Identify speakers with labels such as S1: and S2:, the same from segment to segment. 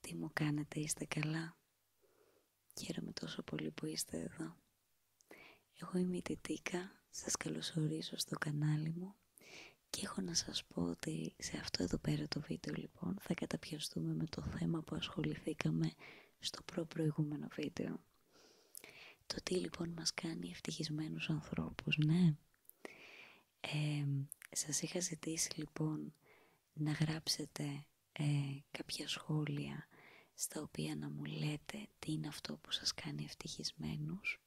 S1: Τι μου κάνετε, είστε καλά. Χαίρομαι τόσο πολύ που είστε εδώ. Εγώ είμαι η Τιτίκα, σας καλωσορίζω στο κανάλι μου και έχω να σας πω ότι σε αυτό εδώ πέρα το βίντεο λοιπόν θα καταπιαστούμε με το θέμα που ασχοληθήκαμε στο προ-προηγούμενο βίντεο. Το τι λοιπόν μας κάνει ευτυχισμένους ανθρώπους, ναι. Ε, σας είχα ζητήσει λοιπόν να γράψετε ε, κάποια σχόλια στα οποία να μου λέτε τι είναι αυτό που σας κάνει ευτυχισμένους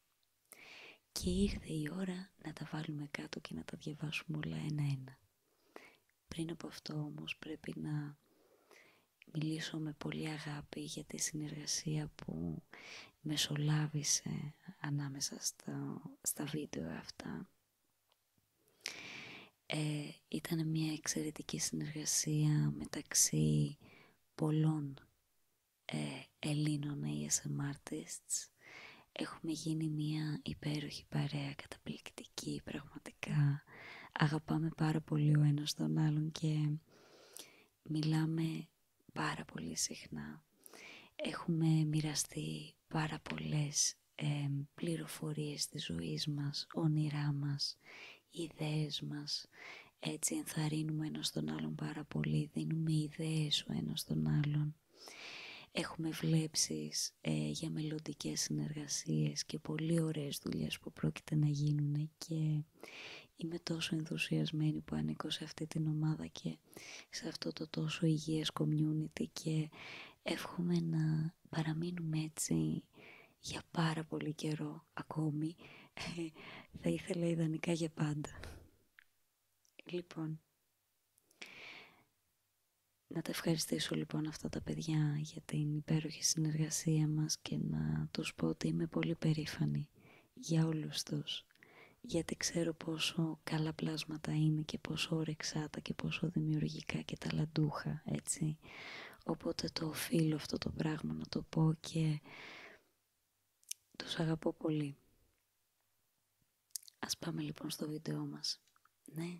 S1: και ήρθε η ώρα να τα βάλουμε κάτω και να τα διαβάσουμε όλα ένα-ένα. Πριν από αυτό όμως πρέπει να μιλήσω με πολύ αγάπη για τη συνεργασία που μεσολάβησε ανάμεσα στα, στα βίντεο αυτά. Ε, ήταν μια εξαιρετική συνεργασία μεταξύ πολλών ε, Ελλήνων ASM Έχουμε γίνει μια υπέροχη παρέα καταπληκτική πραγματικά. Αγαπάμε πάρα πολύ ο ένας τον άλλον και μιλάμε πάρα πολύ συχνά. Έχουμε μοιραστεί πάρα πολλές πληροφορίες της ζωής μας, όνειρά μας, ιδέες μας. Έτσι ενθαρρύνουμε ένας τον άλλον πάρα πολύ, δίνουμε ιδέες ο ένας τον άλλον. Έχουμε βλέψεις ε, για μελλοντικέ συνεργασίες και πολύ ωραίες δουλειές που πρόκειται να γίνουν και είμαι τόσο ενθουσιασμένη που ανήκω σε αυτή την ομάδα και σε αυτό το τόσο υγιές community και εύχομαι να παραμείνουμε έτσι για πάρα πολύ καιρό ακόμη. Θα ήθελα ιδανικά για πάντα. Λοιπόν, να τα ευχαριστήσω λοιπόν αυτά τα παιδιά για την υπέροχη συνεργασία μας και να τους πω ότι είμαι πολύ περήφανη για όλους τους γιατί ξέρω πόσο καλά πλάσματα είναι και πόσο τα και πόσο δημιουργικά και τα ταλαντούχα, έτσι. Οπότε το οφείλω αυτό το πράγμα να το πω και τους αγαπώ πολύ. Ας πάμε λοιπόν στο βίντεό μας. Ναι,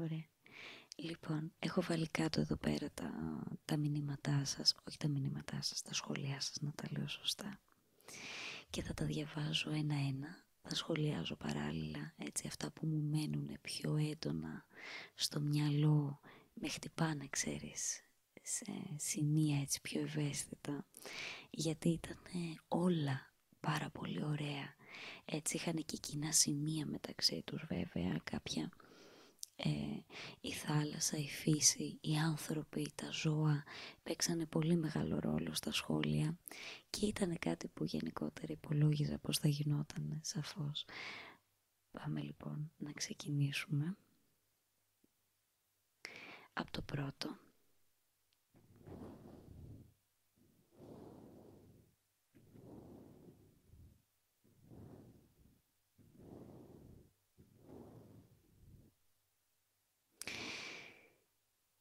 S1: Ωραία. Λοιπόν, έχω βάλει κάτω εδώ πέρα τα, τα μηνύματά σας, όχι τα μηνύματά σας, τα σχόλιά σας, να τα λέω σωστά. Και θα τα διαβάζω ένα-ένα, θα σχολιάζω παράλληλα, έτσι, αυτά που μου μένουν πιο έντονα στο μυαλό, με χτυπάνε, ξέρεις, σε σημεία έτσι πιο ευαίσθητα, γιατί ήταν όλα πάρα πολύ ωραία. Έτσι είχαν και κοινά σημεία μεταξύ τους βέβαια, κάποια ε, η θάλασσα, η φύση, οι άνθρωποι, τα ζώα παίξανε πολύ μεγάλο ρόλο στα σχόλια και ήταν κάτι που γενικότερα υπολόγιζα πως θα γινόταν σαφώς. Πάμε λοιπόν να ξεκινήσουμε από το πρώτο.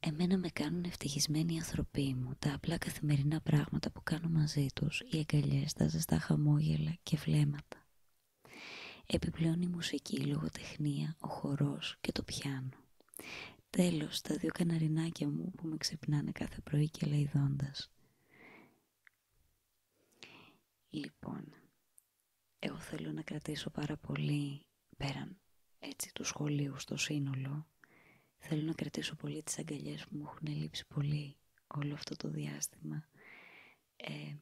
S1: Εμένα με κάνουν ευτυχισμένοι οι ανθρωποί μου, τα απλά καθημερινά πράγματα που κάνω μαζί τους, οι αγκαλιές, τα ζεστά χαμόγελα και βλέμματα. Επιπλέον η μουσική, η λογοτεχνία, ο χορός και το πιάνο. Τέλος, τα δύο καναρινάκια μου που με ξυπνάνε κάθε πρωί και λαϊδώντας. Λοιπόν, εγώ θέλω να κρατήσω πάρα πολύ πέραν έτσι του σχολείου στο σύνολο. Θέλω να κρατήσω πολύ τις αγκαλιές που μου έχουν λείψει πολύ όλο αυτό το διάστημα. Ε,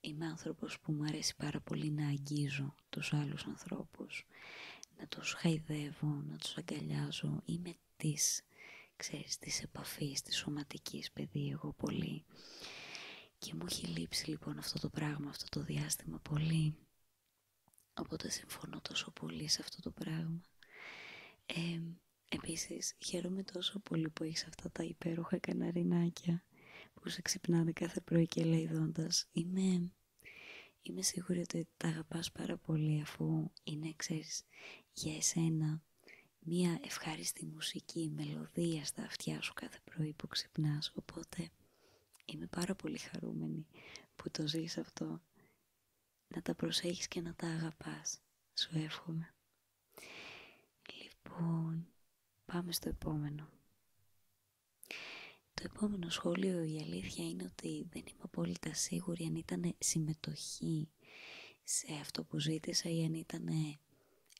S1: είμαι άνθρωπος που μου αρέσει πάρα πολύ να αγγίζω τους άλλους ανθρώπους, να τους χαϊδεύω, να τους αγκαλιάζω. Είμαι της, ξέρεις, της επαφής, της σωματικής παιδί εγώ πολύ. Και μου έχει λείψει λοιπόν αυτό το πράγμα, αυτό το διάστημα πολύ. Οπότε συμφωνώ τόσο πολύ σε αυτό το πράγμα. Ε, επίσης, χαίρομαι τόσο πολύ που έχεις αυτά τα υπέροχα καναρινάκια που σε ξυπνάνε κάθε πρωί και λέει δόντας. Είμαι Είμαι σίγουρη ότι τα αγαπάς πάρα πολύ αφού είναι, ξέρεις, για εσένα μία ευχάριστη μουσική, μελωδία στα αυτιά σου κάθε πρωί που ξυπνά. Οπότε είμαι πάρα πολύ χαρούμενη που το ζεις αυτό. Να τα προσέχεις και να τα αγαπάς. Σου εύχομαι. Λοιπόν, πάμε στο επόμενο. Το επόμενο σχόλιο, η αλήθεια είναι ότι δεν είμαι απόλυτα σίγουρη αν ήταν συμμετοχή σε αυτό που ζήτησα ή αν ήταν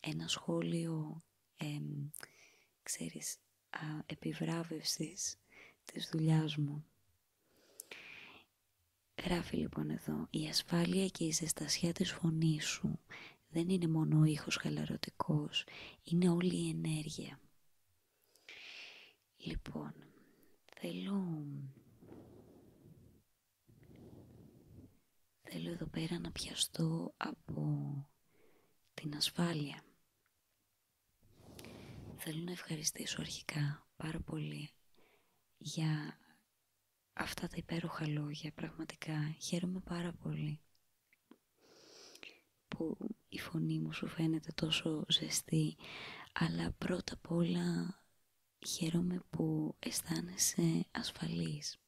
S1: ένα σχόλιο, ε, ξέρεις, α, επιβράβευσης της δουλειάς μου. Γράφει λοιπόν εδώ, η ασφάλεια και η ζεστασιά της φωνής σου δεν είναι μόνο ο ήχος χαλαρωτικός, είναι όλη η ενέργεια. Λοιπόν, θέλω... Θέλω εδώ πέρα να πιαστώ από την ασφάλεια. Θέλω να ευχαριστήσω αρχικά πάρα πολύ για αυτά τα υπέροχα λόγια. Πραγματικά χαίρομαι πάρα πολύ που η φωνή μου σου φαίνεται τόσο ζεστή, αλλά πρώτα απ' όλα χαίρομαι που αισθάνεσαι ασφαλής.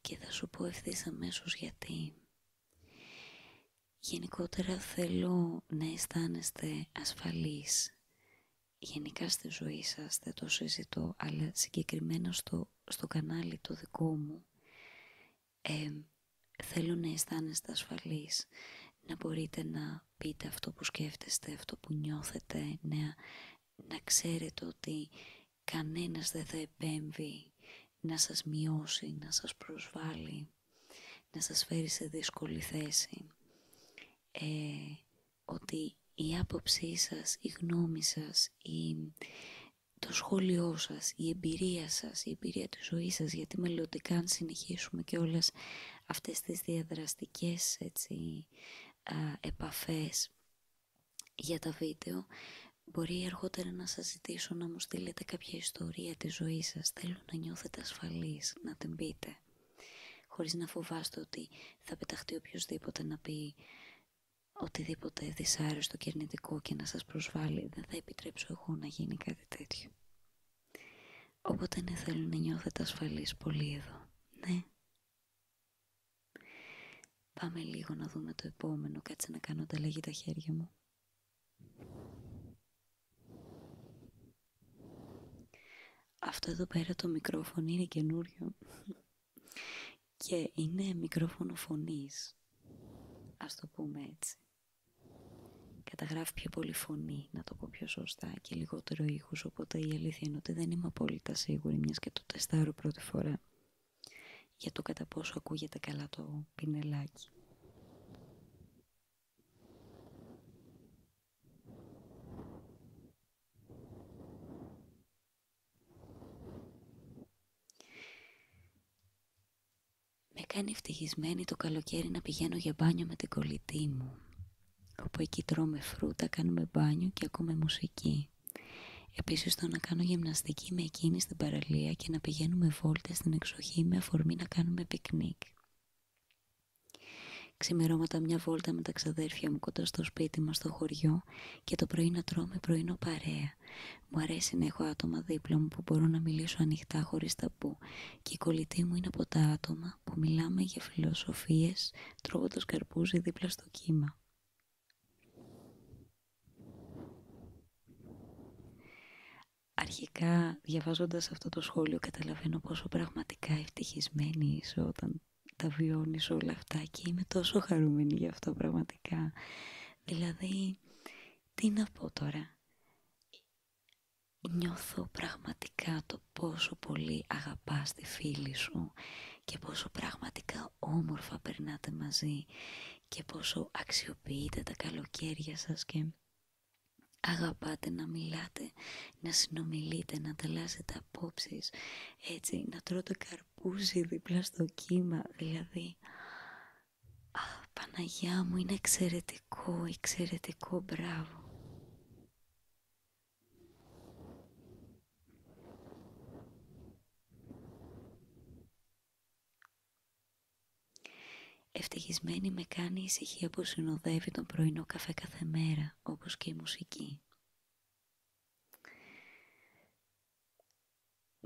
S1: Και θα σου πω ευθύς αμέσως γιατί. Γενικότερα θέλω να αισθάνεστε ασφαλείς. Γενικά στη ζωή σας δεν το συζητώ, αλλά συγκεκριμένα στο, στο κανάλι το δικό μου θέλω να αισθάνεστε ασφαλείς, να μπορείτε να πείτε αυτό που σκέφτεστε, αυτό που νιώθετε, να, να ξέρετε ότι κανένας δεν θα επέμβει να σας μειώσει, να σας προσβάλλει, να σας φέρει σε δύσκολη θέση. Ε, ότι η άποψή σας, η γνώμη σας, η, το σχόλιο σας, η εμπειρία σας, η εμπειρία της ζωής σας, γιατί μελλοντικά αν συνεχίσουμε και όλες αυτές τις διαδραστικές έτσι, επαφές για τα βίντεο, μπορεί αργότερα να σας ζητήσω να μου στείλετε κάποια ιστορία της ζωής σας, θέλω να νιώθετε ασφαλείς, να την πείτε, χωρίς να φοβάστε ότι θα πεταχτεί οποιοδήποτε να πει οτιδήποτε δυσάρεστο και αρνητικό και να σας προσβάλλει δεν θα επιτρέψω εγώ να γίνει κάτι τέτοιο. Οπότε ναι θέλω να νιώθετε ασφαλείς πολύ εδώ. Ναι. Πάμε λίγο να δούμε το επόμενο. Κάτσε να κάνω λέγει τα χέρια μου. Αυτό εδώ πέρα το μικρόφωνο είναι καινούριο. Και είναι μικρόφωνο φωνής. Ας το πούμε έτσι. Καταγράφει πιο πολύ φωνή, να το πω πιο σωστά, και λιγότερο ήχους, οπότε η αλήθεια είναι ότι δεν είμαι απόλυτα σίγουρη, μιας και το τεστάρω πρώτη φορά, για το κατά πόσο ακούγεται καλά το πινελάκι. Με κάνει ευτυχισμένη το καλοκαίρι να πηγαίνω για μπάνιο με την κολλητή μου. Όπου εκεί τρώμε φρούτα, κάνουμε μπάνιο και ακούμε μουσική. Επίσης το να κάνω γυμναστική με εκείνη στην παραλία και να πηγαίνουμε βόλτες στην εξοχή με αφορμή να κάνουμε πικνίκ. Ξημερώματα μια βόλτα με τα ξαδέρφια μου κοντά στο σπίτι μας στο χωριό και το πρωί να τρώμε πρωινό παρέα. Μου αρέσει να έχω άτομα δίπλα μου που μπορώ να μιλήσω ανοιχτά χωρίς ταμπού και η κολλητή μου είναι από τα άτομα που μιλάμε για φιλοσοφίες τρώγοντας καρπούζι δίπλα στο κύμα. Αρχικά, διαβάζοντας αυτό το σχόλιο, καταλαβαίνω πόσο πραγματικά ευτυχισμένη είσαι όταν τα βιώνεις όλα αυτά και είμαι τόσο χαρούμενη γι' αυτό πραγματικά. Δηλαδή, τι να πω τώρα. Νιώθω πραγματικά το πόσο πολύ αγαπάς τη φίλη σου και πόσο πραγματικά όμορφα περνάτε μαζί και πόσο αξιοποιείτε τα καλοκαίρια σας και αγαπάτε να μιλάτε, να συνομιλείτε, να ανταλλάσσετε απόψεις, έτσι, να τρώτε καρπούζι δίπλα στο κύμα, δηλαδή Α, Παναγιά μου, είναι εξαιρετικό, εξαιρετικό, μπράβο. Ευτυχισμένη με κάνει η ησυχία που συνοδεύει τον πρωινό καφέ κάθε μέρα, όπως και η μουσική.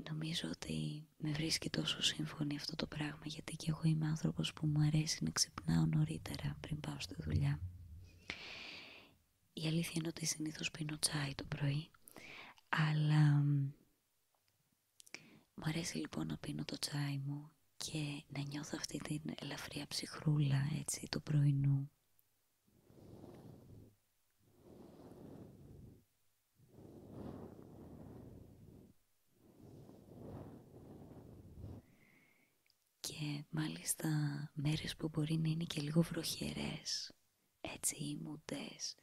S1: Νομίζω ότι με βρίσκει τόσο σύμφωνη αυτό το πράγμα γιατί και εγώ είμαι άνθρωπος που μου αρέσει να ξυπνάω νωρίτερα πριν πάω στη δουλειά. Η αλήθεια είναι ότι συνήθως πίνω τσάι το πρωί, αλλά μου αρέσει λοιπόν να πίνω το τσάι μου και να νιώθω αυτή την ελαφριά ψυχρούλα έτσι του πρωινού. Και μάλιστα μέρες που μπορεί να είναι και λίγο βροχερές, έτσι μουντές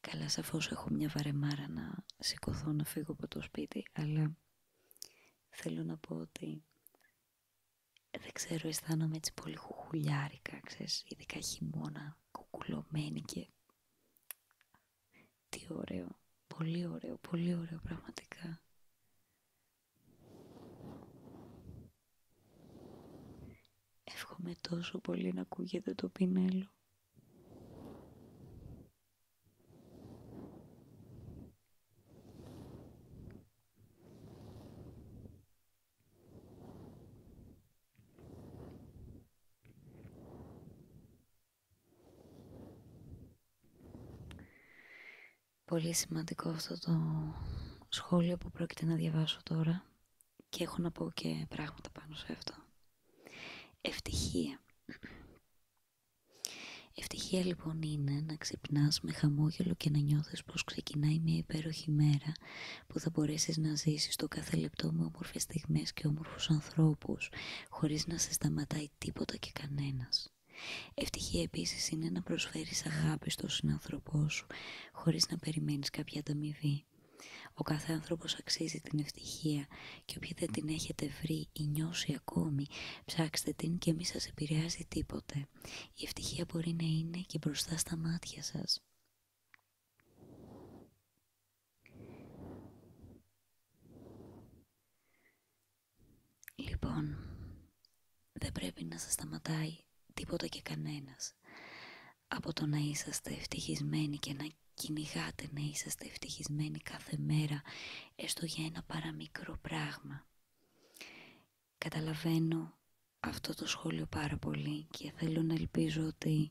S1: Καλά σαφώς έχω μια βαρεμάρα να σηκωθώ να φύγω από το σπίτι, αλλά θέλω να πω ότι δεν ξέρω, αισθάνομαι έτσι πολύ χουχουλιάρικα, ξέρεις, ειδικά χειμώνα και τι ωραίο, πολύ ωραίο, πολύ ωραίο πραγματικά. Εύχομαι τόσο πολύ να ακούγεται το πινέλο. Πολύ σημαντικό αυτό το σχόλιο που πρόκειται να διαβάσω τώρα και έχω να πω και πράγματα πάνω σε αυτό. Ευτυχία. Ευτυχία λοιπόν είναι να ξυπνάς με χαμόγελο και να νιώθεις πως ξεκινάει μια υπέροχη μέρα που θα μπορέσεις να ζήσεις το κάθε λεπτό με όμορφες στιγμές και όμορφους ανθρώπους, χωρίς να σε σταματάει τίποτα και κανένας. Ευτυχία επίσης είναι να προσφέρεις αγάπη στον συνανθρωπό σου, χωρίς να περιμένεις κάποια ανταμοιβή. Ο κάθε άνθρωπος αξίζει την ευτυχία και όποιοι δεν την έχετε βρει ή νιώσει ακόμη, ψάξτε την και μη σας επηρεάζει τίποτε. Η ευτυχία μπορεί να είναι και μπροστά στα μάτια σας. Λοιπόν, δεν πρέπει να σας σταματάει τίποτα και κανένας από το να είσαστε ευτυχισμένοι και να κυνηγάτε να είσαστε ευτυχισμένοι κάθε μέρα έστω για ένα παραμικρό πράγμα. Καταλαβαίνω αυτό το σχόλιο πάρα πολύ και θέλω να ελπίζω ότι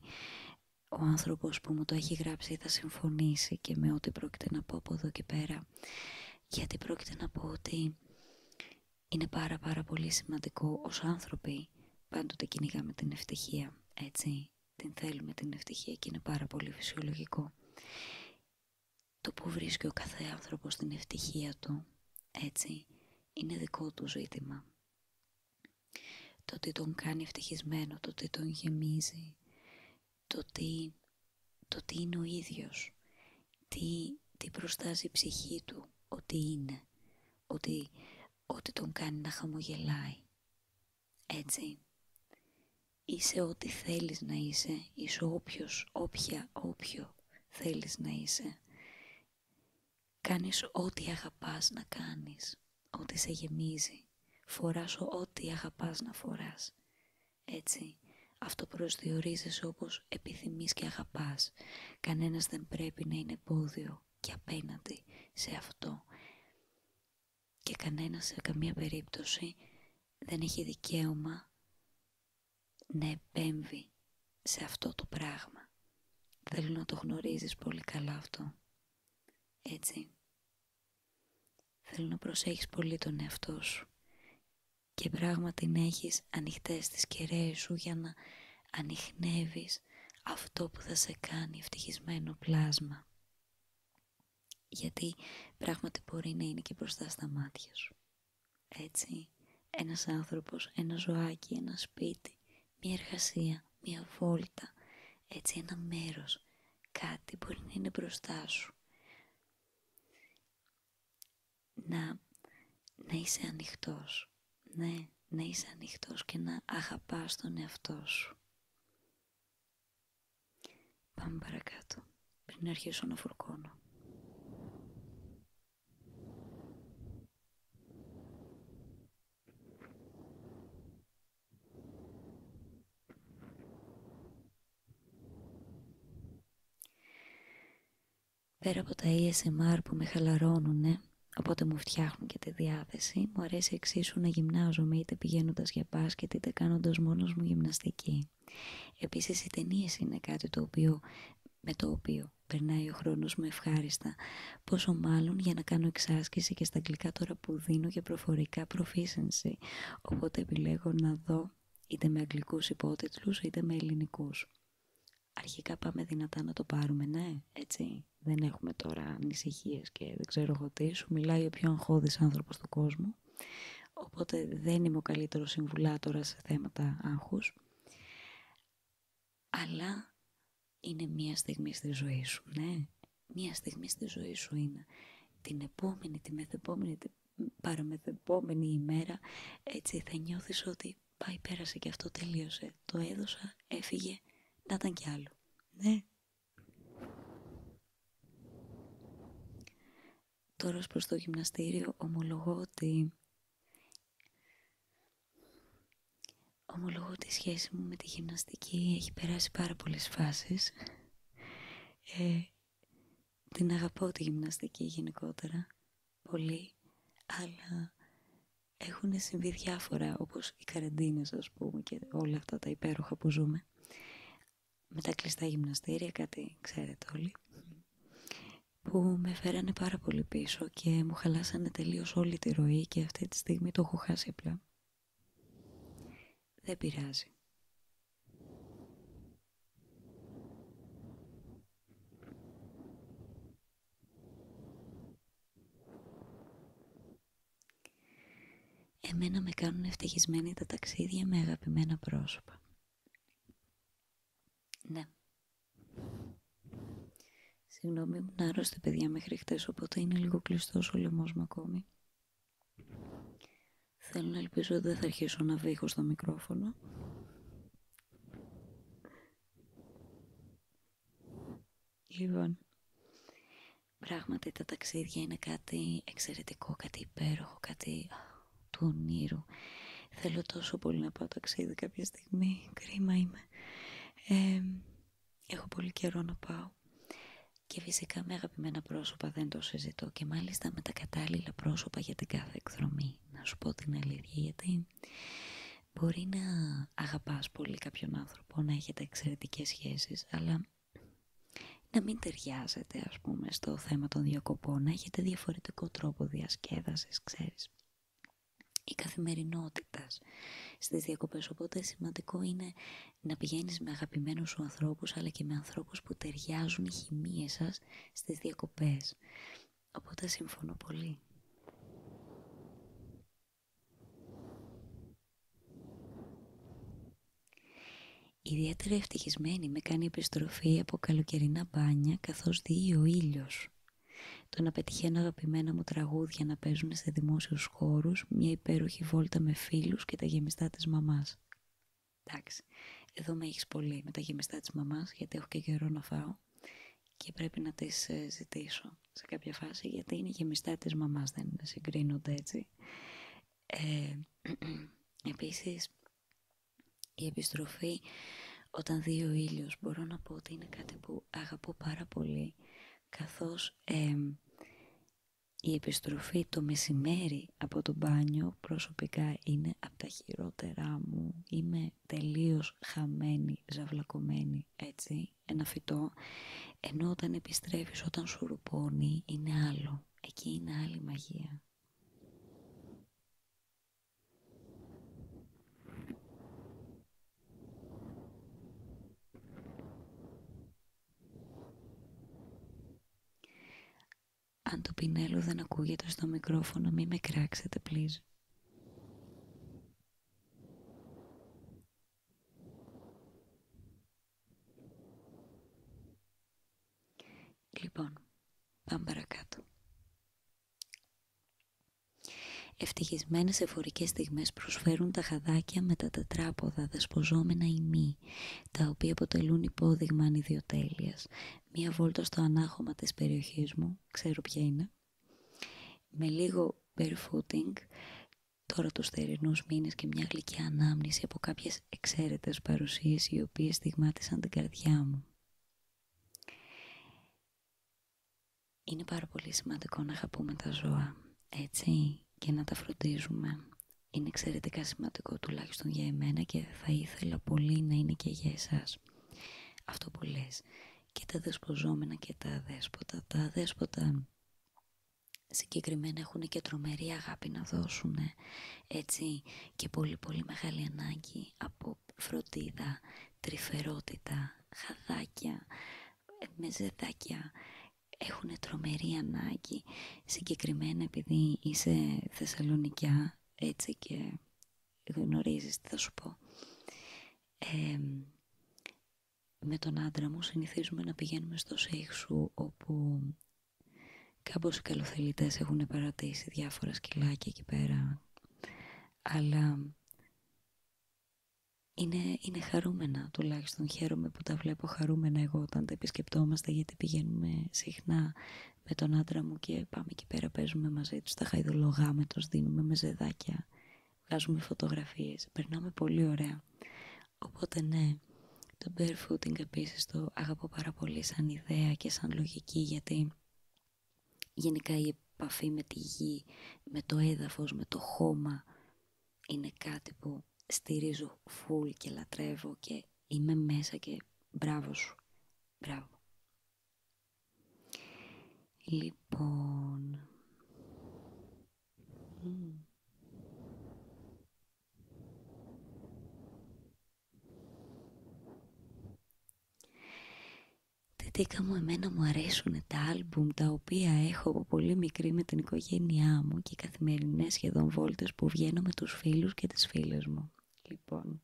S1: ο άνθρωπος που μου το έχει γράψει θα συμφωνήσει και με ό,τι πρόκειται να πω από εδώ και πέρα. Γιατί πρόκειται να πω ότι είναι πάρα πάρα πολύ σημαντικό ως άνθρωποι πάντοτε κυνηγάμε την ευτυχία, έτσι. Την θέλουμε την ευτυχία και είναι πάρα πολύ φυσιολογικό. Το που βρίσκει ο κάθε άνθρωπος την ευτυχία του, έτσι, είναι δικό του ζήτημα το τι τον κάνει ευτυχισμένο, το τι τον γεμίζει, το τι, το τι είναι ο ίδιος, τι, τι προστάζει η ψυχή του, ότι είναι, ότι, ότι τον κάνει να χαμογελάει. Έτσι, είσαι ό,τι θέλεις να είσαι, είσαι όποιος, όποια, όποιο θέλεις να είσαι Κάνεις ό,τι αγαπάς να κάνεις, ό,τι σε γεμίζει. Φοράς ό,τι αγαπάς να φοράς. Έτσι, αυτό προσδιορίζεσαι όπως επιθυμείς και αγαπάς. Κανένας δεν πρέπει να είναι εμπόδιο και απέναντι σε αυτό. Και κανένας σε καμία περίπτωση δεν έχει δικαίωμα να επέμβει σε αυτό το πράγμα. Θέλω να το γνωρίζεις πολύ καλά αυτό. Έτσι. Θέλω να προσέχεις πολύ τον εαυτό σου και πράγματι να έχεις ανοιχτές τις κεραίες σου για να ανοιχνεύεις αυτό που θα σε κάνει ευτυχισμένο πλάσμα. Γιατί πράγματι μπορεί να είναι και μπροστά στα μάτια σου. Έτσι, ένας άνθρωπος, ένα ζωάκι, ένα σπίτι, μια εργασία, μια βόλτα, έτσι ένα μέρος, κάτι μπορεί να είναι μπροστά σου. Να, να είσαι ανοιχτός, ναι, να είσαι ανοιχτός και να αγαπάς τον εαυτό σου. Πάμε παρακάτω, πριν αρχίσω να φουρκώνω. Πέρα από τα ASMR που με χαλαρώνουν, οπότε μου φτιάχνουν και τη διάθεση, μου αρέσει εξίσου να γυμνάζομαι είτε πηγαίνοντας για μπάσκετ είτε κάνοντας μόνος μου γυμναστική. Επίσης οι ταινίε είναι κάτι το οποίο, με το οποίο περνάει ο χρόνος μου ευχάριστα, πόσο μάλλον για να κάνω εξάσκηση και στα αγγλικά τώρα που δίνω για προφορικά proficiency, οπότε επιλέγω να δω είτε με αγγλικούς υπότιτλους είτε με ελληνικούς. Αρχικά πάμε δυνατά να το πάρουμε, ναι, έτσι. Δεν έχουμε τώρα ανησυχίε και δεν ξέρω εγώ τι σου. Μιλάει ο πιο αγχώδης άνθρωπος του κόσμου. Οπότε δεν είμαι ο καλύτερος συμβουλάτορας σε θέματα άγχους αλλά είναι μία στιγμή στη ζωή σου, ναι. Μία στιγμή στη ζωή σου είναι. Την επόμενη, τη μεθεπόμενη, την παραμεθεπόμενη ημέρα, έτσι θα νιώθεις ότι πάει πέρασε και αυτό τελείωσε. Το έδωσα, έφυγε, να ήταν κι άλλο. Ναι. Τώρα προς το γυμναστήριο ομολογώ ότι Ομολογώ ότι η σχέση μου με τη γυμναστική έχει περάσει πάρα πολλές φάσεις. Ε, την αγαπώ τη γυμναστική γενικότερα, πολύ, αλλά έχουν συμβεί διάφορα, όπως οι καραντίνες ας πούμε και όλα αυτά τα υπέροχα που ζούμε. Με τα κλειστά γυμναστήρια, κάτι ξέρετε όλοι που με φέρανε πάρα πολύ πίσω και μου χαλάσανε τελείως όλη τη ροή και αυτή τη στιγμή το έχω χάσει απλά. Δεν πειράζει. Εμένα με κάνουν ευτυχισμένοι τα ταξίδια με αγαπημένα πρόσωπα. Ναι. Συγγνώμη, ήμουν άρρωστη παιδιά μέχρι χτες, οπότε είναι λίγο κλειστός ο λαιμό μου ακόμη. Θέλω να ελπίζω ότι δεν θα αρχίσω να βήχω στο μικρόφωνο. Λοιπόν, πράγματι τα ταξίδια είναι κάτι εξαιρετικό, κάτι υπέροχο, κάτι του ονείρου. Θέλω τόσο πολύ να πάω ταξίδι κάποια στιγμή, κρίμα είμαι. έχω πολύ καιρό να πάω. Και φυσικά με αγαπημένα πρόσωπα δεν το συζητώ και μάλιστα με τα κατάλληλα πρόσωπα για την κάθε εκδρομή. Να σου πω την αλήθεια γιατί μπορεί να αγαπάς πολύ κάποιον άνθρωπο, να έχετε εξαιρετικές σχέσεις, αλλά να μην ταιριάζετε ας πούμε στο θέμα των διακοπών, να έχετε διαφορετικό τρόπο διασκέδασης, ξέρεις η καθημερινότητα στις διακοπές. Οπότε σημαντικό είναι να πηγαίνεις με αγαπημένους σου ανθρώπους, αλλά και με ανθρώπους που ταιριάζουν οι χημίες σας στις διακοπές. Οπότε συμφωνώ πολύ. Ιδιαίτερα ευτυχισμένη με κάνει επιστροφή από καλοκαιρινά μπάνια καθώς δει ο ήλιος. Το να πετυχαίνω αγαπημένα μου τραγούδια να παίζουν σε δημόσιους χώρους, μια υπέροχη βόλτα με φίλους και τα γεμιστά της μαμάς. Εντάξει, εδώ με έχεις πολύ με τα γεμιστά της μαμάς, γιατί έχω και καιρό να φάω και πρέπει να τις ε, ζητήσω σε κάποια φάση, γιατί είναι γεμιστά της μαμάς, δεν συγκρίνονται έτσι. Ε, Η επιστροφή όταν δύο ο ήλιος μπορώ να πω ότι είναι κάτι που αγαπώ πάρα πολύ καθώς η επιστροφή το μεσημέρι από το μπάνιο προσωπικά είναι από τα χειρότερά μου. Είμαι τελείως χαμένη, ζαυλακωμένη, έτσι, ένα φυτό. Ενώ όταν επιστρέφεις, όταν σου ρουπώνει, είναι άλλο. Εκεί είναι άλλη μαγεία. Αν το πινέλο δεν ακούγεται στο μικρόφωνο, μη με κράξετε, please. Λοιπόν, πάμε παρακάτω. Ευτυχισμένες εφορικές στιγμές προσφέρουν τα χαδάκια με τα τετράποδα δεσποζόμενα ημί, τα οποία αποτελούν υπόδειγμα ανιδιοτέλειας. Μία βόλτα στο ανάχωμα της περιοχής μου, ξέρω ποια είναι, με λίγο barefooting, τώρα τους θερινούς μήνες και μια γλυκή ανάμνηση από κάποιες εξαίρετες παρουσίες οι οποίες στιγμάτισαν την καρδιά μου. Είναι πάρα πολύ σημαντικό να αγαπούμε τα ζώα, έτσι, και να τα φροντίζουμε. Είναι εξαιρετικά σημαντικό τουλάχιστον για εμένα και θα ήθελα πολύ να είναι και για εσάς. Αυτό που λες. Και τα δεσποζόμενα και τα αδέσποτα. Τα αδέσποτα συγκεκριμένα έχουν και τρομερή αγάπη να δώσουν, έτσι, και πολύ πολύ μεγάλη ανάγκη από φροντίδα, τρυφερότητα, χαδάκια, ε, μεζεδάκια. Έχουν τρομερή ανάγκη. Συγκεκριμένα επειδή είσαι Θεσσαλονικιά, έτσι και γνωρίζεις τι θα σου πω. με τον άντρα μου συνηθίζουμε να πηγαίνουμε στο Σέιχσου όπου κάπως οι καλοθελητές έχουν παρατήσει διάφορα σκυλάκια εκεί πέρα αλλά είναι, είναι χαρούμενα τουλάχιστον. Χαίρομαι που τα βλέπω χαρούμενα εγώ όταν τα επισκεπτόμαστε γιατί πηγαίνουμε συχνά με τον άντρα μου και πάμε εκεί πέρα, παίζουμε μαζί τους, τα χαϊδολογάμε, τους δίνουμε με ζεδάκια, βγάζουμε φωτογραφίες, περνάμε πολύ ωραία. Οπότε ναι, το barefooting επίσης το αγαπώ πάρα πολύ σαν ιδέα και σαν λογική γιατί Γενικά η επαφή με τη γη, με το έδαφος, με το χώμα είναι κάτι που στηρίζω φουλ και λατρεύω και είμαι μέσα και μπράβο σου. Λοιπόν... Τετίκα μου, εμένα μου αρέσουν τα άλμπουμ τα οποία έχω από πολύ μικρή με την οικογένειά μου και οι καθημερινές σχεδόν βόλτες που βγαίνω με τους φίλους και τις φίλες μου. Λοιπόν,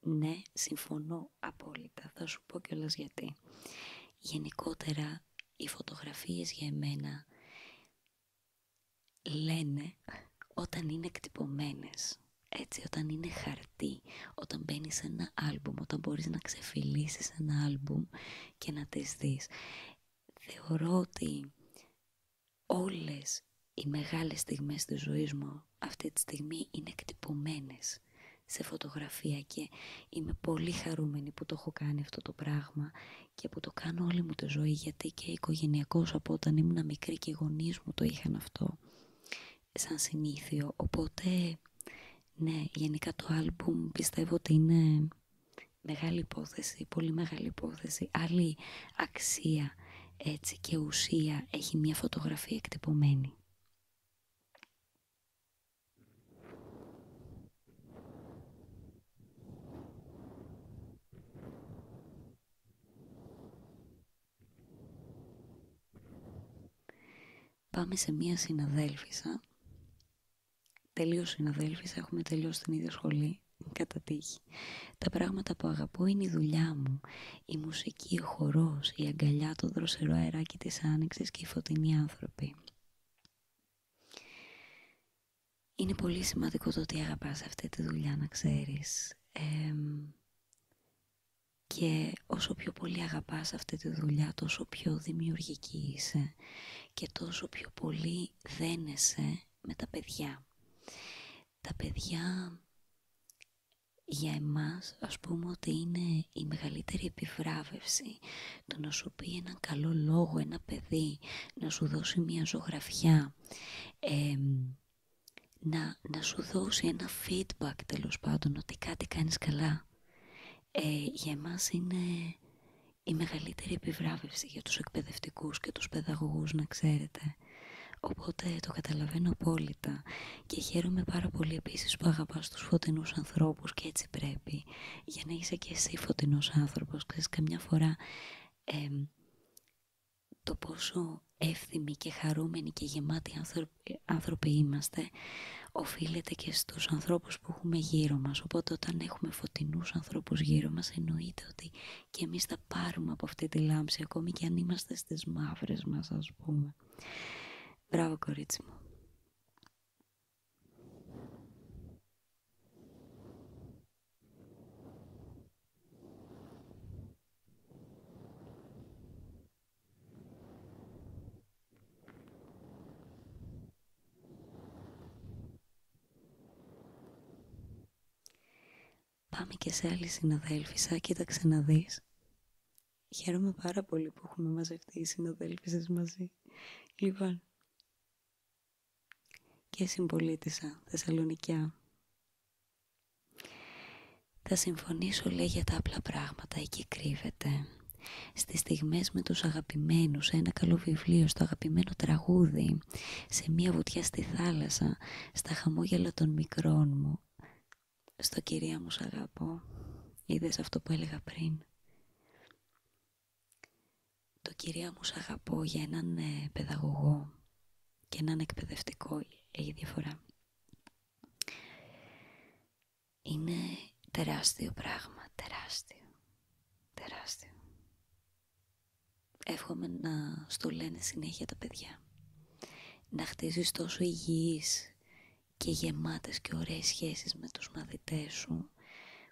S1: ναι, συμφωνώ απόλυτα. Θα σου πω κιόλας γιατί. Γενικότερα, οι φωτογραφίες για εμένα λένε όταν είναι εκτυπωμένε. Έτσι, όταν είναι χαρτί, όταν μπαίνει σε ένα άλμπουμ, όταν μπορείς να ξεφυλίσεις ένα άλμπουμ και να τις δεις. Θεωρώ ότι όλες οι μεγάλες στιγμές της ζωής μου αυτή τη στιγμή είναι εκτυπωμένες σε φωτογραφία και είμαι πολύ χαρούμενη που το έχω κάνει αυτό το πράγμα και που το κάνω όλη μου τη ζωή γιατί και οικογενειακός από όταν ήμουν μικρή και οι μου το είχαν αυτό σαν συνήθιο. Οπότε, ναι, γενικά το άλμπουμ πιστεύω ότι είναι μεγάλη υπόθεση, πολύ μεγάλη υπόθεση. Άλλη αξία έτσι και ουσία έχει μια φωτογραφία εκτυπωμένη. Πάμε σε μία συναδέλφισσα. Τελείω συναδέλφισσα, έχουμε τελειώσει την ίδια σχολή, κατά τύχη. Τα πράγματα που αγαπώ είναι η δουλειά μου, η μουσική, ο χορός, η αγκαλιά, το δροσερό αεράκι της άνοιξη και οι φωτεινοί άνθρωποι. Είναι πολύ σημαντικό το ότι αγαπάς αυτή τη δουλειά να ξέρεις και όσο πιο πολύ αγαπάς αυτή τη δουλειά, τόσο πιο δημιουργική είσαι και τόσο πιο πολύ δένεσαι με τα παιδιά. Τα παιδιά για εμάς ας πούμε ότι είναι η μεγαλύτερη επιβράβευση το να σου πει έναν καλό λόγο ένα παιδί, να σου δώσει μια ζωγραφιά, να, σου δώσει ένα feedback τέλος πάντων ότι κάτι κάνεις καλά ε, για εμάς είναι η μεγαλύτερη επιβράβευση για τους εκπαιδευτικούς και τους παιδαγωγούς να ξέρετε οπότε το καταλαβαίνω απόλυτα και χαίρομαι πάρα πολύ επίσης που αγαπάς τους φωτεινούς ανθρώπους και έτσι πρέπει για να είσαι και εσύ φωτεινός άνθρωπος ξέρεις καμιά φορά το πόσο εύθυμοι και χαρούμενοι και γεμάτοι άνθρωποι, είμαστε οφείλεται και στους ανθρώπους που έχουμε γύρω μας. Οπότε όταν έχουμε φωτεινούς ανθρώπους γύρω μας εννοείται ότι και εμείς θα πάρουμε από αυτή τη λάμψη ακόμη και αν είμαστε στις μαύρες μας ας πούμε. Μπράβο κορίτσι μου. Πάμε και σε άλλη συναδέλφισσα, κοίταξε να δεις. Χαίρομαι πάρα πολύ που έχουμε μαζευτεί οι συναδέλφισσες μαζί. Λοιπόν, και συμπολίτησα Θεσσαλονικιά θα συμφωνήσω λέει για τα απλά πράγματα, εκεί κρύβεται. Στις στιγμές με τους αγαπημένους, σε ένα καλό βιβλίο, στο αγαπημένο τραγούδι, σε μία βουτιά στη θάλασσα, στα χαμόγελα των μικρών μου. Στο κυρία μου σ' αγαπώ, είδες αυτό που έλεγα πριν. Το κυρία μου σ' αγαπώ για έναν ε, παιδαγωγό και έναν εκπαιδευτικό η διαφορά. Είναι τεράστιο πράγμα, τεράστιο, τεράστιο. Εύχομαι να στο λένε συνέχεια τα παιδιά. Να χτίζεις τόσο υγιείς και γεμάτες και ωραίες σχέσεις με τους μαθητές σου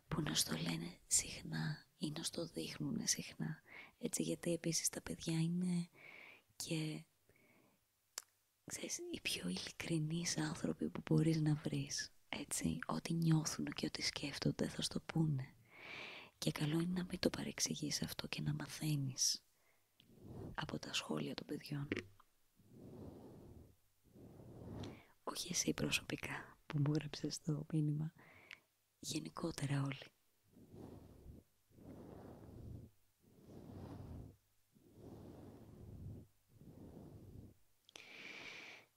S1: που να στο λένε συχνά ή να στο δείχνουν συχνά. Έτσι, γιατί επίσης τα παιδιά είναι και οι πιο ειλικρινείς άνθρωποι που μπορείς να βρεις. Έτσι, ό,τι νιώθουν και ό,τι σκέφτονται θα στο πούνε. Και καλό είναι να μην το παρεξηγείς αυτό και να μαθαίνεις από τα σχόλια των παιδιών. Όχι εσύ προσωπικά που μου έγραψε το μήνυμα γενικότερα όλοι.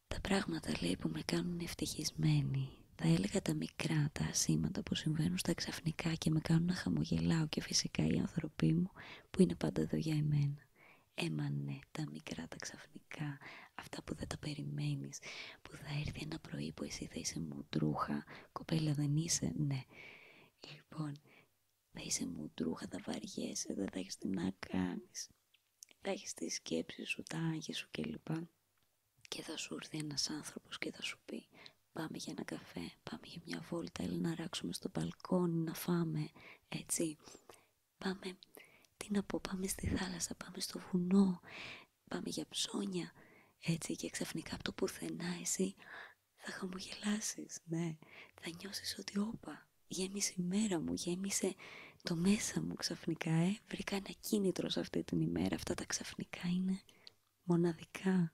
S1: Τα πράγματα λέει που με κάνουν ευτυχισμένοι, θα έλεγα τα μικρά, τα ασήματα που συμβαίνουν στα ξαφνικά και με κάνουν να χαμογελάω και φυσικά οι άνθρωποι μου που είναι πάντα εδώ για εμένα. Έμανε τα μικρά, τα ξαφνικά, αυτά που δεν τα περιμένεις, που θα έρθει ένα πρωί που εσύ θα είσαι μουντρούχα. Κοπέλα δεν είσαι, ναι. Λοιπόν, θα είσαι μουντρούχα, θα βαριέσαι, δεν θα έχει τι να κάνεις. Θα έχει τις σκέψεις σου, τα άγια σου κλπ. Και θα σου έρθει ένας άνθρωπος και θα σου πει πάμε για ένα καφέ, πάμε για μια βόλτα, έλα να ράξουμε στο μπαλκόνι, να φάμε, έτσι. Πάμε, τι να πω, πάμε στη θάλασσα, πάμε στο βουνό, πάμε για ψώνια, έτσι και ξαφνικά από το πουθενά εσύ θα χαμογελάσεις, ναι. Θα νιώσεις ότι όπα, γέμισε η μέρα μου, γέμισε το μέσα μου ξαφνικά, ε. Βρήκα ένα κίνητρο σε αυτή την ημέρα, αυτά τα ξαφνικά είναι μοναδικά.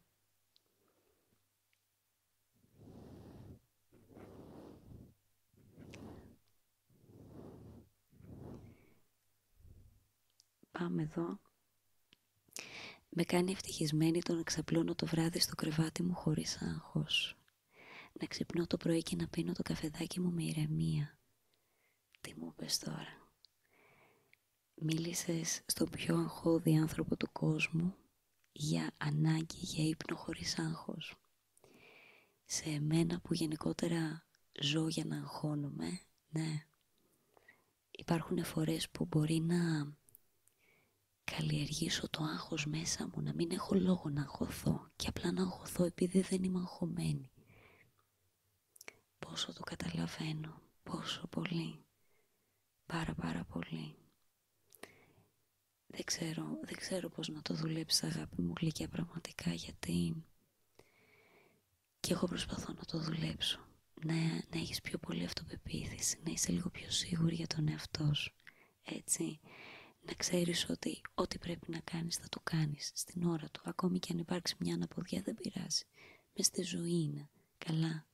S1: Πάμε εδώ. Με κάνει ευτυχισμένη το να ξαπλώνω το βράδυ στο κρεβάτι μου χωρίς άγχος. Να ξυπνώ το πρωί και να πίνω το καφεδάκι μου με ηρεμία. Τι μου πες τώρα. Μίλησες στον πιο αγχώδη άνθρωπο του κόσμου για ανάγκη για ύπνο χωρίς άγχος. Σε μένα που γενικότερα ζω για να αγχώνομαι, ναι, Υπάρχουν φορές που μπορεί να καλλιεργήσω το άγχος μέσα μου, να μην έχω λόγο να αγχωθώ και απλά να αγχωθώ επειδή δεν είμαι αγχωμένη. Πόσο το καταλαβαίνω, πόσο πολύ, πάρα πάρα πολύ. Δεν ξέρω, δεν ξέρω πώς να το δουλέψεις αγάπη μου γλυκιά πραγματικά γιατί και εγώ προσπαθώ να το δουλέψω. Να, να έχεις πιο πολύ αυτοπεποίθηση, να είσαι λίγο πιο σίγουρη για τον εαυτό σου. Έτσι, να ξέρεις ότι ό,τι πρέπει να κάνεις θα το κάνεις στην ώρα του. Ακόμη και αν υπάρξει μια αναποδιά δεν πειράζει. Με στη ζωή είναι. Καλά.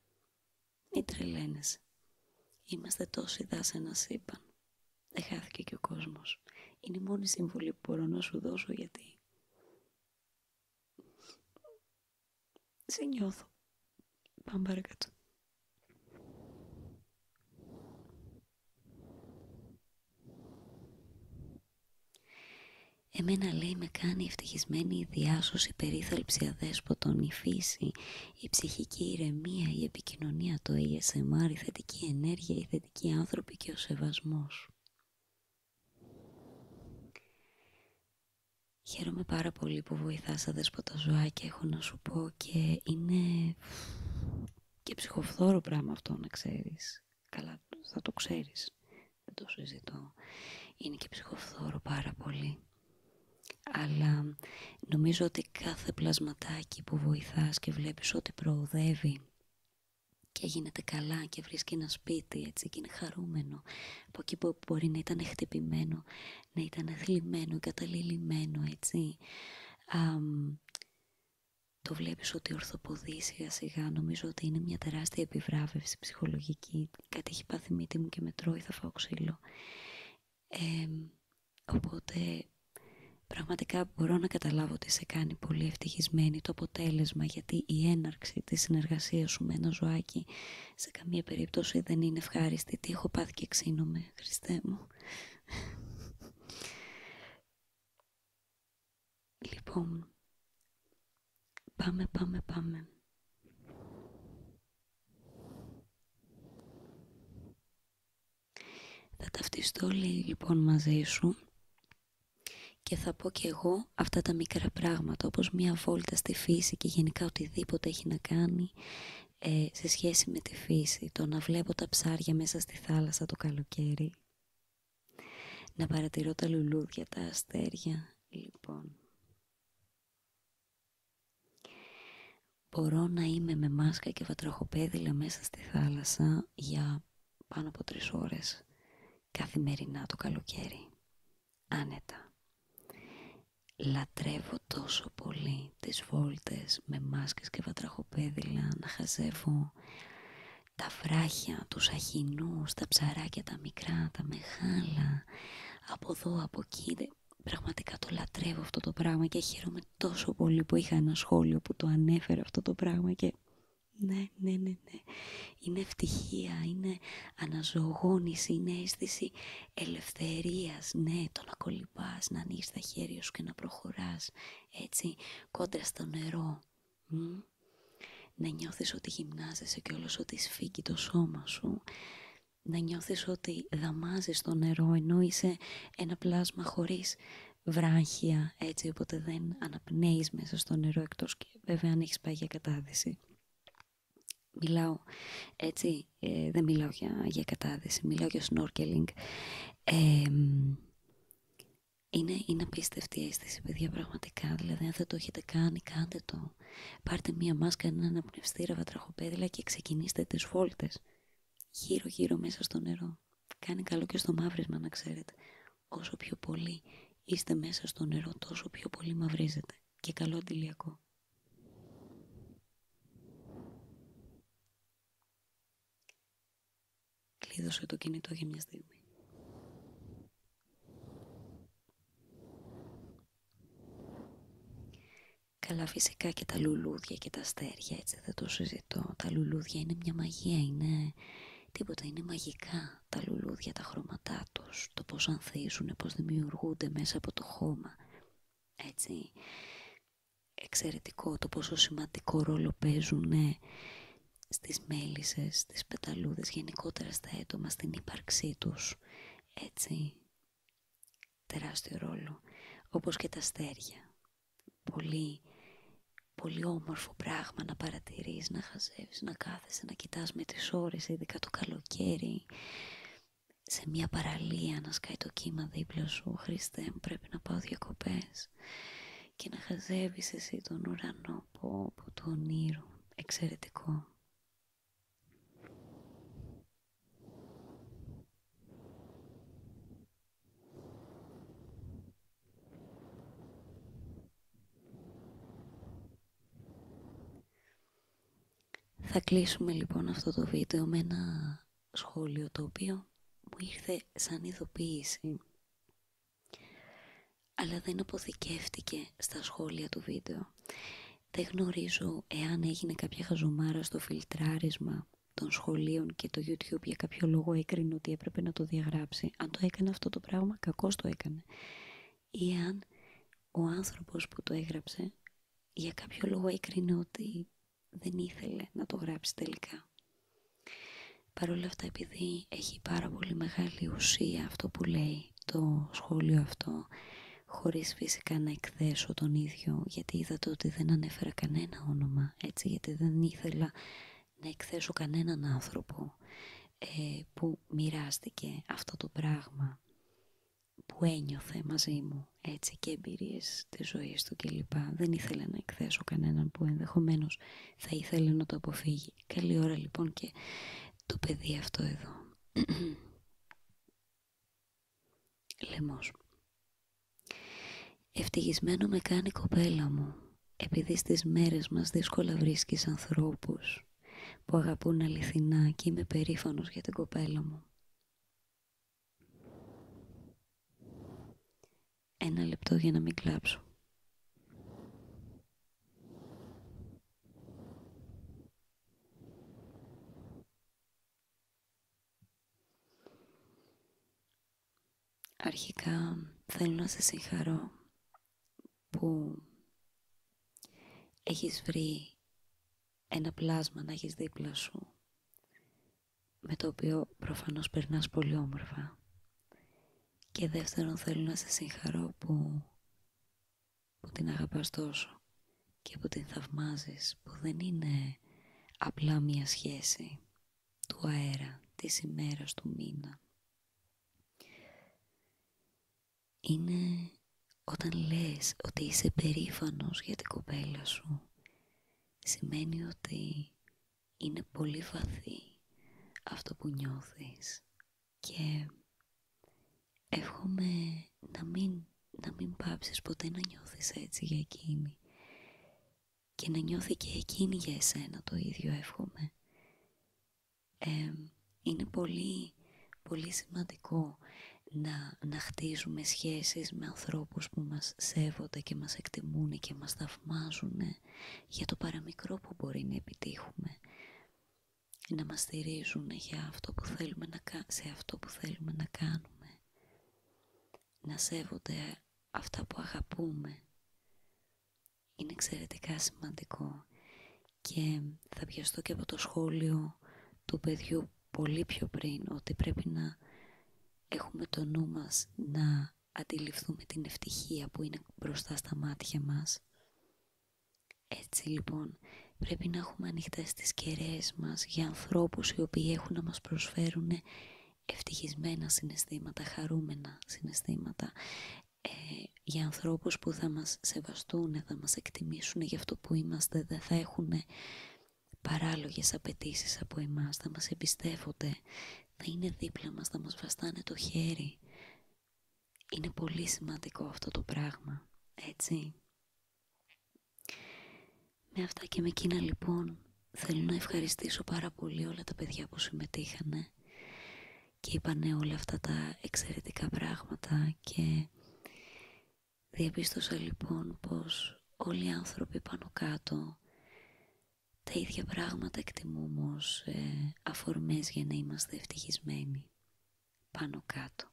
S1: Μην τρελαίνεσαι. Είμαστε τόσοι να σύμπαν. Δεν χάθηκε και ο κόσμος. Είναι η μόνη συμβουλή που μπορώ να σου δώσω γιατί σε νιώθω. Πάμε Εμένα λέει με κάνει ευτυχισμένη η διάσωση, η περίθαλψη αδέσποτον, η φύση, η ψυχική ηρεμία, η επικοινωνία, το ASMR, η θετική ενέργεια, η θετική άνθρωποι και ο σεβασμός. Χαίρομαι πάρα πολύ που βοηθάς τα ζωά και έχω να σου πω και είναι και ψυχοφθόρο πράγμα αυτό να ξέρεις. Καλά, θα το ξέρεις. Δεν το συζητώ. Είναι και ψυχοφθόρο πάρα πολύ. Αλλά νομίζω ότι κάθε πλασματάκι που βοηθάς και βλέπεις ότι προοδεύει και γίνεται καλά και βρίσκει ένα σπίτι έτσι και είναι χαρούμενο από εκεί που μπορεί να ήταν χτυπημένο, να ήταν θλιμμένο, καταληλημένο έτσι το βλέπεις ότι ορθοποδεί σιγά σιγά νομίζω ότι είναι μια τεράστια επιβράβευση ψυχολογική κάτι έχει πάθει μύτη μου και με τρώει θα φάω ξύλο οπότε πραγματικά μπορώ να καταλάβω ότι σε κάνει πολύ ευτυχισμένη το αποτέλεσμα γιατί η έναρξη της συνεργασίας σου με ένα ζωάκι σε καμία περίπτωση δεν είναι ευχάριστη. Τι έχω πάθει και ξύνομαι, Χριστέ μου. Λοιπόν, πάμε, πάμε, πάμε. Θα ταυτιστώ, λέει, λοιπόν, μαζί σου και θα πω και εγώ αυτά τα μικρά πράγματα, όπως μία βόλτα στη φύση και γενικά οτιδήποτε έχει να κάνει ε, σε σχέση με τη φύση. Το να βλέπω τα ψάρια μέσα στη θάλασσα το καλοκαίρι. Να παρατηρώ τα λουλούδια, τα αστέρια. Λοιπόν. Μπορώ να είμαι με μάσκα και βατροχοπέδιλα μέσα στη θάλασσα για πάνω από τρεις ώρες καθημερινά το καλοκαίρι. Άνετα. Λατρεύω τόσο πολύ τις βόλτες με μάσκες και βατραχοπέδιλα να χαζεύω τα βράχια, τους αχινούς, τα ψαράκια, τα μικρά, τα μεγάλα, από εδώ, από εκεί. Πραγματικά το λατρεύω αυτό το πράγμα και χαίρομαι τόσο πολύ που είχα ένα σχόλιο που το ανέφερε αυτό το πράγμα και ναι, ναι, ναι, ναι. Είναι ευτυχία, είναι αναζωογόνηση, είναι αίσθηση ελευθερίας. Ναι, το να κολυμπάς, να ανοίγεις τα χέρια σου και να προχωράς, έτσι, κόντρα στο νερό. Μ? Να νιώθεις ότι γυμνάζεσαι και όλος ότι σφίγγει το σώμα σου. Να νιώθεις ότι δαμάζεις το νερό ενώ είσαι ένα πλάσμα χωρίς βράχια έτσι οπότε δεν αναπνέεις μέσα στο νερό εκτός και βέβαια αν έχεις πάει για κατάδυση. Μιλάω έτσι, ε, δεν μιλάω για, για κατάδυση, μιλάω για snorkeling. είναι, είναι απίστευτη αίσθηση, παιδιά, πραγματικά. Δηλαδή, αν δεν το έχετε κάνει, κάντε το. Πάρτε μία μάσκα, ένα αναπνευστήρα, βατραχοπέδιλα και ξεκινήστε τις φολτες γυρω Γύρω-γύρω μέσα στο νερό. Κάνει καλό και στο μαύρισμα να ξέρετε. Όσο πιο πολύ είστε μέσα στο νερό, τόσο πιο πολύ μαυρίζετε. Και καλό αντιλιακό. Κλείδωσε το κινητό για μια στιγμή. Καλά φυσικά και τα λουλούδια και τα αστέρια, έτσι δεν το συζητώ. Τα λουλούδια είναι μια μαγεία, είναι Τίποτα είναι μαγικά, τα λουλούδια, τα χρώματά τους, το πώς ανθίζουν, πώς δημιουργούνται μέσα από το χώμα. Έτσι, εξαιρετικό το πόσο σημαντικό ρόλο παίζουν ναι, στις μέλισσες, στις πεταλούδες, γενικότερα στα έντομα, στην ύπαρξή τους. Έτσι, τεράστιο ρόλο, όπως και τα στέρια πολύ, πολύ όμορφο πράγμα να παρατηρείς, να χαζεύεις, να κάθεσαι, να κοιτάς με τις ώρες, ειδικά το καλοκαίρι, σε μια παραλία να σκάει το κύμα δίπλα σου, Χριστέ μου πρέπει να πάω διακοπέ και να χαζεύεις εσύ τον ουρανό από το όνειρο, εξαιρετικό. Θα κλείσουμε λοιπόν αυτό το βίντεο με ένα σχόλιο το οποίο μου ήρθε σαν ειδοποίηση αλλά δεν αποθηκεύτηκε στα σχόλια του βίντεο. Δεν γνωρίζω εάν έγινε κάποια χαζομάρα στο φιλτράρισμα των σχολείων και το YouTube για κάποιο λόγο έκρινε ότι έπρεπε να το διαγράψω αν το έκανε αυτό το πράγμα, κακώς το έκανε. Ή αν ο άνθρωπος που το έγραψε, για κάποιο λόγο έκρινε ότι δεν ήθελε να το γράψει τελικά. παρόλα αυτά, επειδή έχει πάρα πολύ μεγάλη ουσία αυτό που λέει το σχόλιο αυτό, χωρίς φυσικά να εκθέσω τον ίδιο, γιατί είδατε ότι δεν ανέφερα κανένα όνομα, έτσι, γιατί δεν ήθελα να εκθέσω κανέναν άνθρωπο ε, που μοιράστηκε αυτό το πράγμα που ένιωθε μαζί μου έτσι και εμπειρίες της ζωής του κλπ. Δεν ήθελα να εκθέσω κανέναν που ενδεχομένως θα ήθελε να το αποφύγει. Καλή ώρα λοιπόν και το παιδί αυτό εδώ. Λεμός. Ευτυχισμένο με κάνει κοπέλα μου, επειδή στις μέρες μας δύσκολα βρίσκεις ανθρώπους που αγαπούν αληθινά και είμαι περήφανος για την κοπέλα μου. Ένα λεπτό για να μην κλάψω. Αρχικά θέλω να σε συγχαρώ που έχεις βρει ένα πλάσμα να έχεις δίπλα σου με το οποίο προφανώς περνάς πολύ όμορφα. Και δεύτερον θέλω να σε συγχαρώ που, που την αγαπάς τόσο και που την θαυμάζεις, που δεν είναι απλά μία σχέση του αέρα, της ημέρας, του μήνα. Είναι όταν λες ότι είσαι περήφανος για την κοπέλα σου, σημαίνει ότι είναι πολύ βαθύ αυτό που νιώθεις και εύχομαι να μην, να μην πάψεις ποτέ να νιώθεις έτσι για εκείνη και να νιώθει και εκείνη για εσένα το ίδιο εύχομαι. είναι πολύ, πολύ σημαντικό να, να χτίζουμε σχέσεις με ανθρώπους που μας σέβονται και μας εκτιμούν και μας θαυμάζουν για το παραμικρό που μπορεί να επιτύχουμε. Να μας στηρίζουν για αυτό που θέλουμε να, σε αυτό που θέλουμε να κάνουμε. Να σέβονται αυτά που αγαπούμε. Είναι εξαιρετικά σημαντικό και θα πιαστώ και από το σχόλιο του παιδιού πολύ πιο πριν ότι πρέπει να έχουμε το νου μας να αντιληφθούμε την ευτυχία που είναι μπροστά στα μάτια μας. Έτσι λοιπόν πρέπει να έχουμε ανοιχτές τις κεραίες μας για ανθρώπους οι οποίοι έχουν να μας προσφέρουν ευτυχισμένα συναισθήματα, χαρούμενα συναισθήματα ε, για ανθρώπους που θα μας σεβαστούν, θα μας εκτιμήσουν για αυτό που είμαστε, δεν θα έχουν παράλογες απαιτήσει από εμάς, θα μας εμπιστεύονται, θα είναι δίπλα μας, θα μας βαστάνε το χέρι. Είναι πολύ σημαντικό αυτό το πράγμα, έτσι. Με αυτά και με εκείνα λοιπόν Θέλω να ευχαριστήσω πάρα πολύ όλα τα παιδιά που συμμετείχανε και είπανε όλα αυτά τα εξαιρετικά πράγματα και διαπίστωσα λοιπόν πως όλοι οι άνθρωποι πάνω κάτω τα ίδια πράγματα εκτιμούμε ως ε, αφορμές για να είμαστε ευτυχισμένοι πάνω κάτω.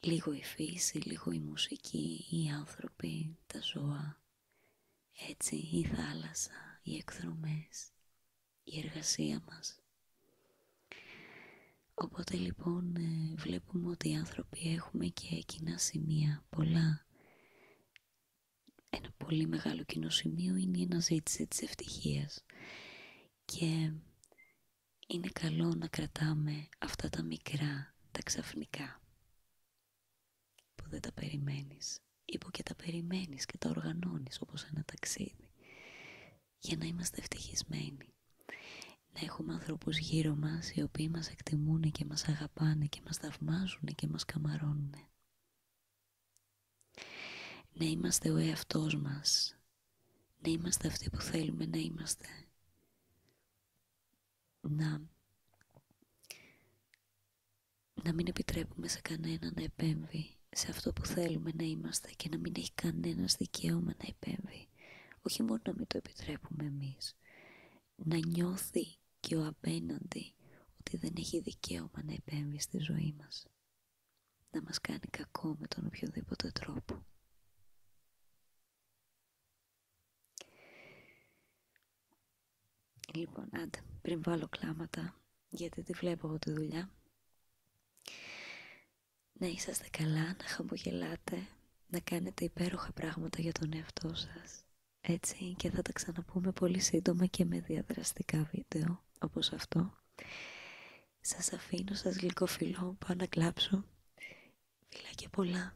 S1: Λίγο η φύση, λίγο η μουσική, οι άνθρωποι, τα ζώα. Έτσι η θάλασσα, οι εκδρομές, η εργασία μας. Οπότε λοιπόν ε, βλέπουμε ότι οι άνθρωποι έχουμε και κοινά σημεία, πολλά. Ένα πολύ μεγάλο κοινό σημείο είναι η αναζήτηση της ευτυχίας. Και είναι καλό να κρατάμε αυτά τα μικρά, τα ξαφνικά που δεν τα περιμένεις ή που και τα περιμένεις και τα οργανώνεις όπως ένα ταξίδι για να είμαστε ευτυχισμένοι. Να έχουμε ανθρώπους γύρω μας οι οποίοι μας εκτιμούν και μας αγαπάνε και μας θαυμάζουν και μας καμαρώνουν. Να είμαστε ο εαυτός μας. Να είμαστε αυτοί που θέλουμε να είμαστε. Να να μην επιτρέπουμε σε κανένα να επέμβει σε αυτό που θέλουμε να είμαστε και να μην έχει κανένας δικαίωμα να επέμβει. Όχι μόνο να μην το επιτρέπουμε εμείς. Να νιώθει και ο απέναντι ότι δεν έχει δικαίωμα να επέμβει στη ζωή μας. Να μας κάνει κακό με τον οποιοδήποτε τρόπο. Λοιπόν, άντε, πριν βάλω κλάματα, γιατί τη βλέπω εγώ τη δουλειά. Να είσαστε καλά, να χαμογελάτε, να κάνετε υπέροχα πράγματα για τον εαυτό σας. Έτσι και θα τα ξαναπούμε πολύ σύντομα και με διαδραστικά βίντεο, όπως αυτό. Σας αφήνω, σας γλυκοφιλώ, πάω να κλάψω. και πολλά.